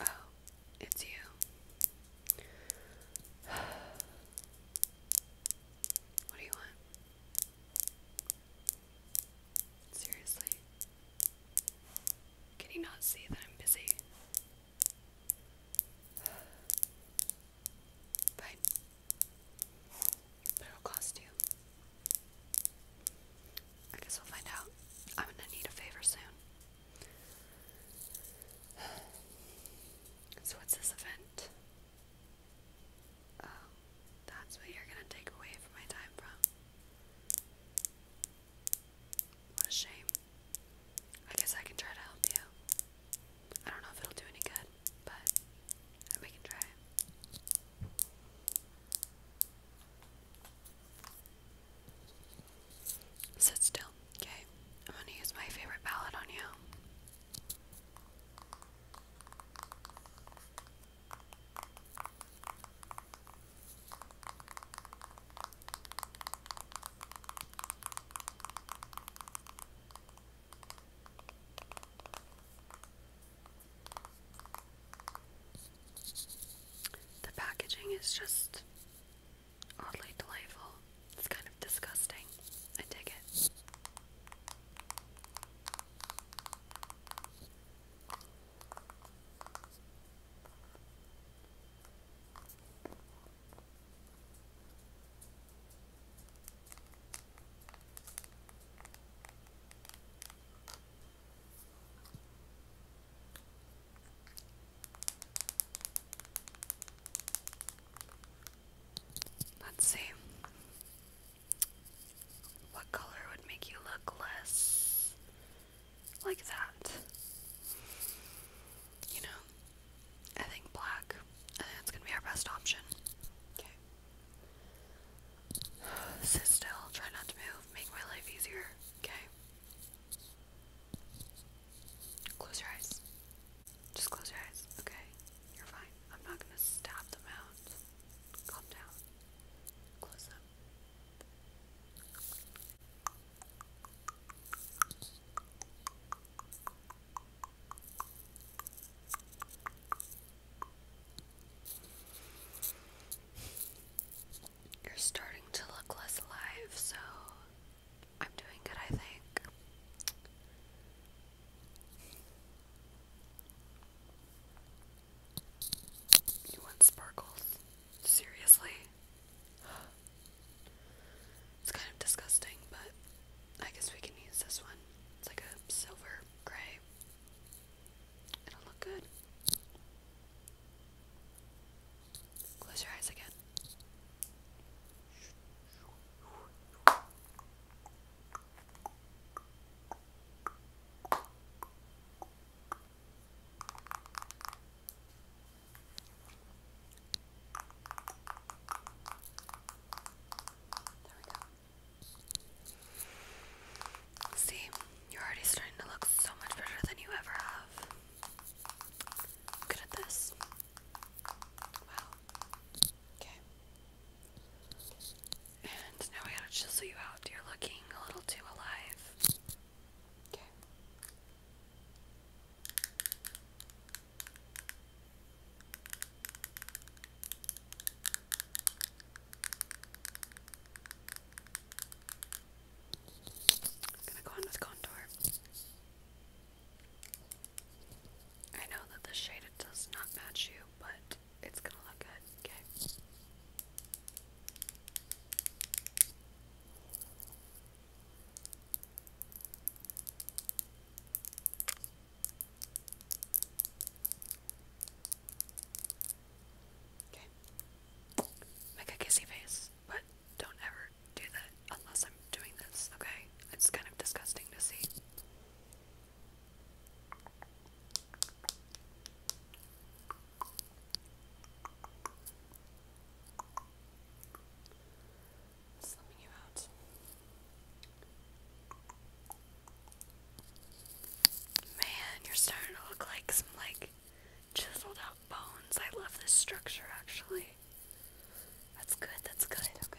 Oh, it's you. What do you want? Seriously? Can you not see that I'm busy? Fine. But it I guess we'll find out. I'm gonna need a favor soon. So, what's this event? Oh, that's what you're gonna take away from my time from. What a shame. I guess I can try to help you. I don't know if it'll do any good, but we can try. Sit still, okay? I'm gonna use my favorite palette on you. The packaging is just oddly delightful. It's kind of disgusting. I dig it. Let's see. What color would make you look less like that? You know, I think black. I think that's gonna be our best option. Okay. Sit still. Try not to move. Make my life easier. Okay. Close your eyes. Just close your eyes, okay? You're fine. I'm not gonna stab them out. Calm down. Close them. You're starting to look less alive, so I'm doing good, I think. You want sparkles? Seriously? It's kind of disgusting, but I guess we can use this one. It's like a silver gray. It'll look good. Close your eyes again. There we go. See, you're already starting to look so much better than you ever have. Good at this. Wow. Okay. And now I gotta chisel you out. You're looking a little too alive. Okay. I'm gonna go on with contour. I know that the shade does not match you, but it's gonna look good, okay? Make a kissy face, but don't ever do that unless I'm doing this, okay? It's kind of disgusting to see. Slumming you out. Man, you're starting to look like some like chiseled out bones. I love this structure actually. That's good, that's good, okay.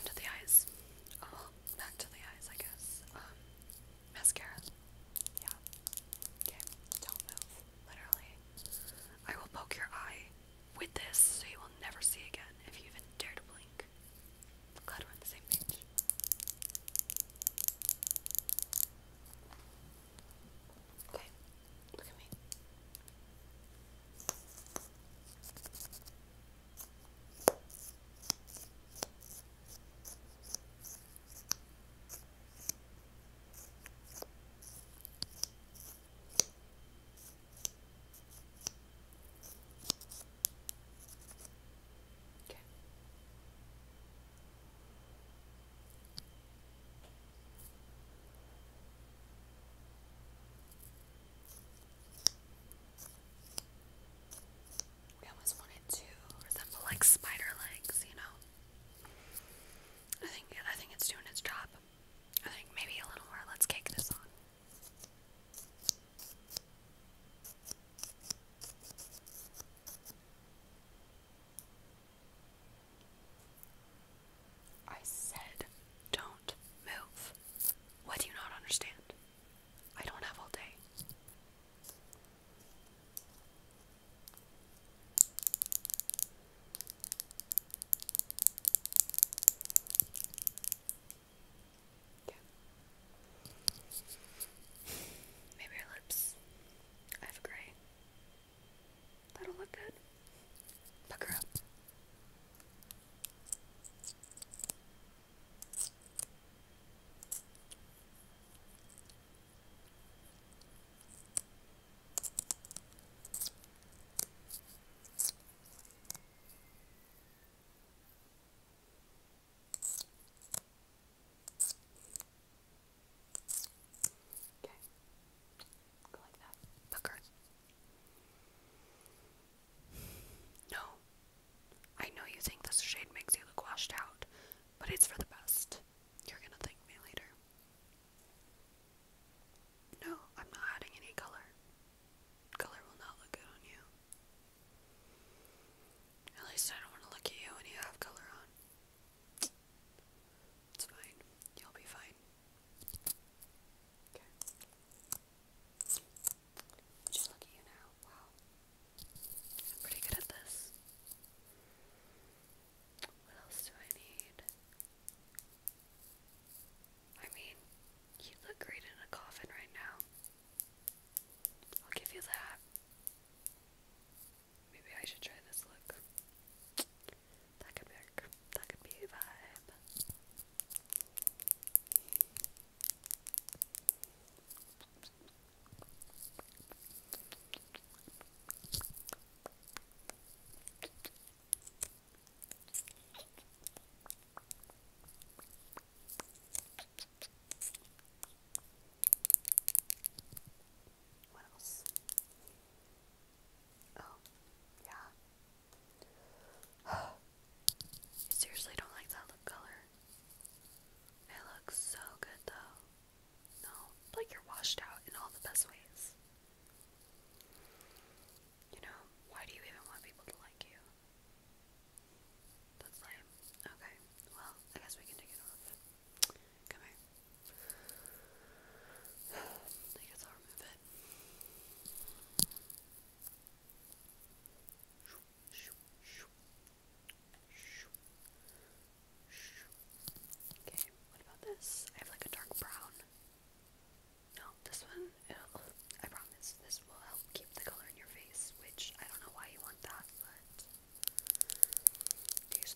Okay. the eyes. Oh, to the eyes, I guess. Um, mascara. Yeah. Okay. Don't move. Literally. I will poke your eye with this so you will never see again if you even dare to blink. glad we're on the same page. Okay, look at me. Okay. We always want to resemble like spider legs, you know. I think I think it's doing its job. I think maybe a little more. Let's cake this on. I said, don't move. What do you not understand? I don't have all day. Maybe her lips. I have gray. That'll look good. Pucker up. Okay. Go like that. No. I know you think this shade makes you look washed out, but it's for the best. You're gonna thank me later. No, I'm not adding any color. Color will not look good on you. At least I don't want to look at you when you have color on. It's fine. You'll be fine. Okay. Just look at you now. Wow. I'm pretty good at this. What else do I need? I mean, you look great in a coffin right now. I'll give you that. Maybe I should try this look. That could work. That could be a vibe. What else? Oh, yeah. seriously don't like that lip color. It looks so good though. No, like you're washed out in all the best ways. You know, why do you even want people to like you? That's lame. Okay, well, I guess we can take it off. Come here. I guess I'll remove it. Okay, what about this? I have like a dark brown. No, this one, I promise, this will help keep the color in your face, which I don't know why you want that, but to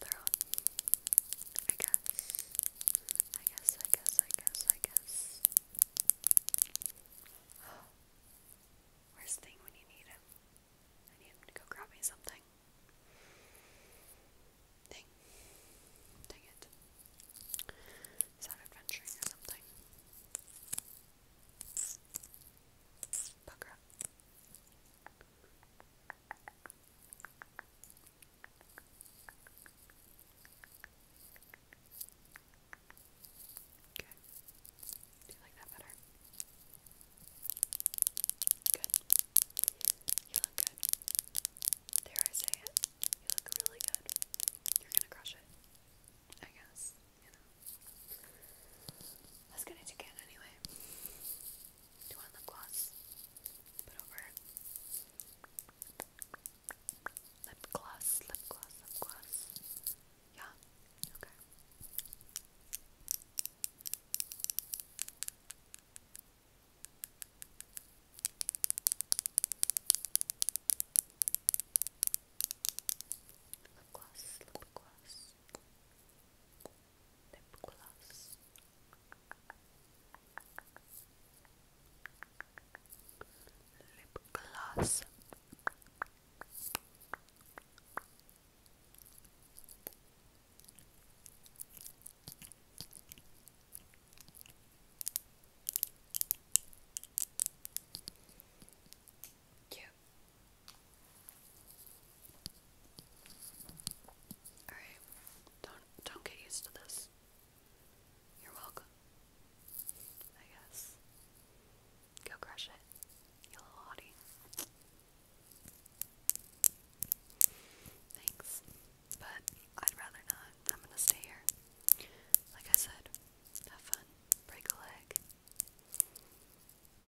their own. I guess. I guess, I guess, I guess, I guess. Where's Thing when you need him? I need to go grab me something. Thing. Dang it. He's adventuring or something. Bugger Okay. Do you like that better? Good. You look good. Dare I say it? You look really good. You're gonna crush it. I guess. You know. Let's get it anyway. Do you lip gloss? Put over it. Lip gloss, lip gloss, lip gloss. Yeah? Okay. Lip gloss, lip gloss lip gloss. Lip gloss. Cute don't don't get used to this. You're welcome. I guess. Go crush it, you little hottie. Thanks. But I'd rather not. I'm gonna stay here. Like I said, have fun. Break a leg.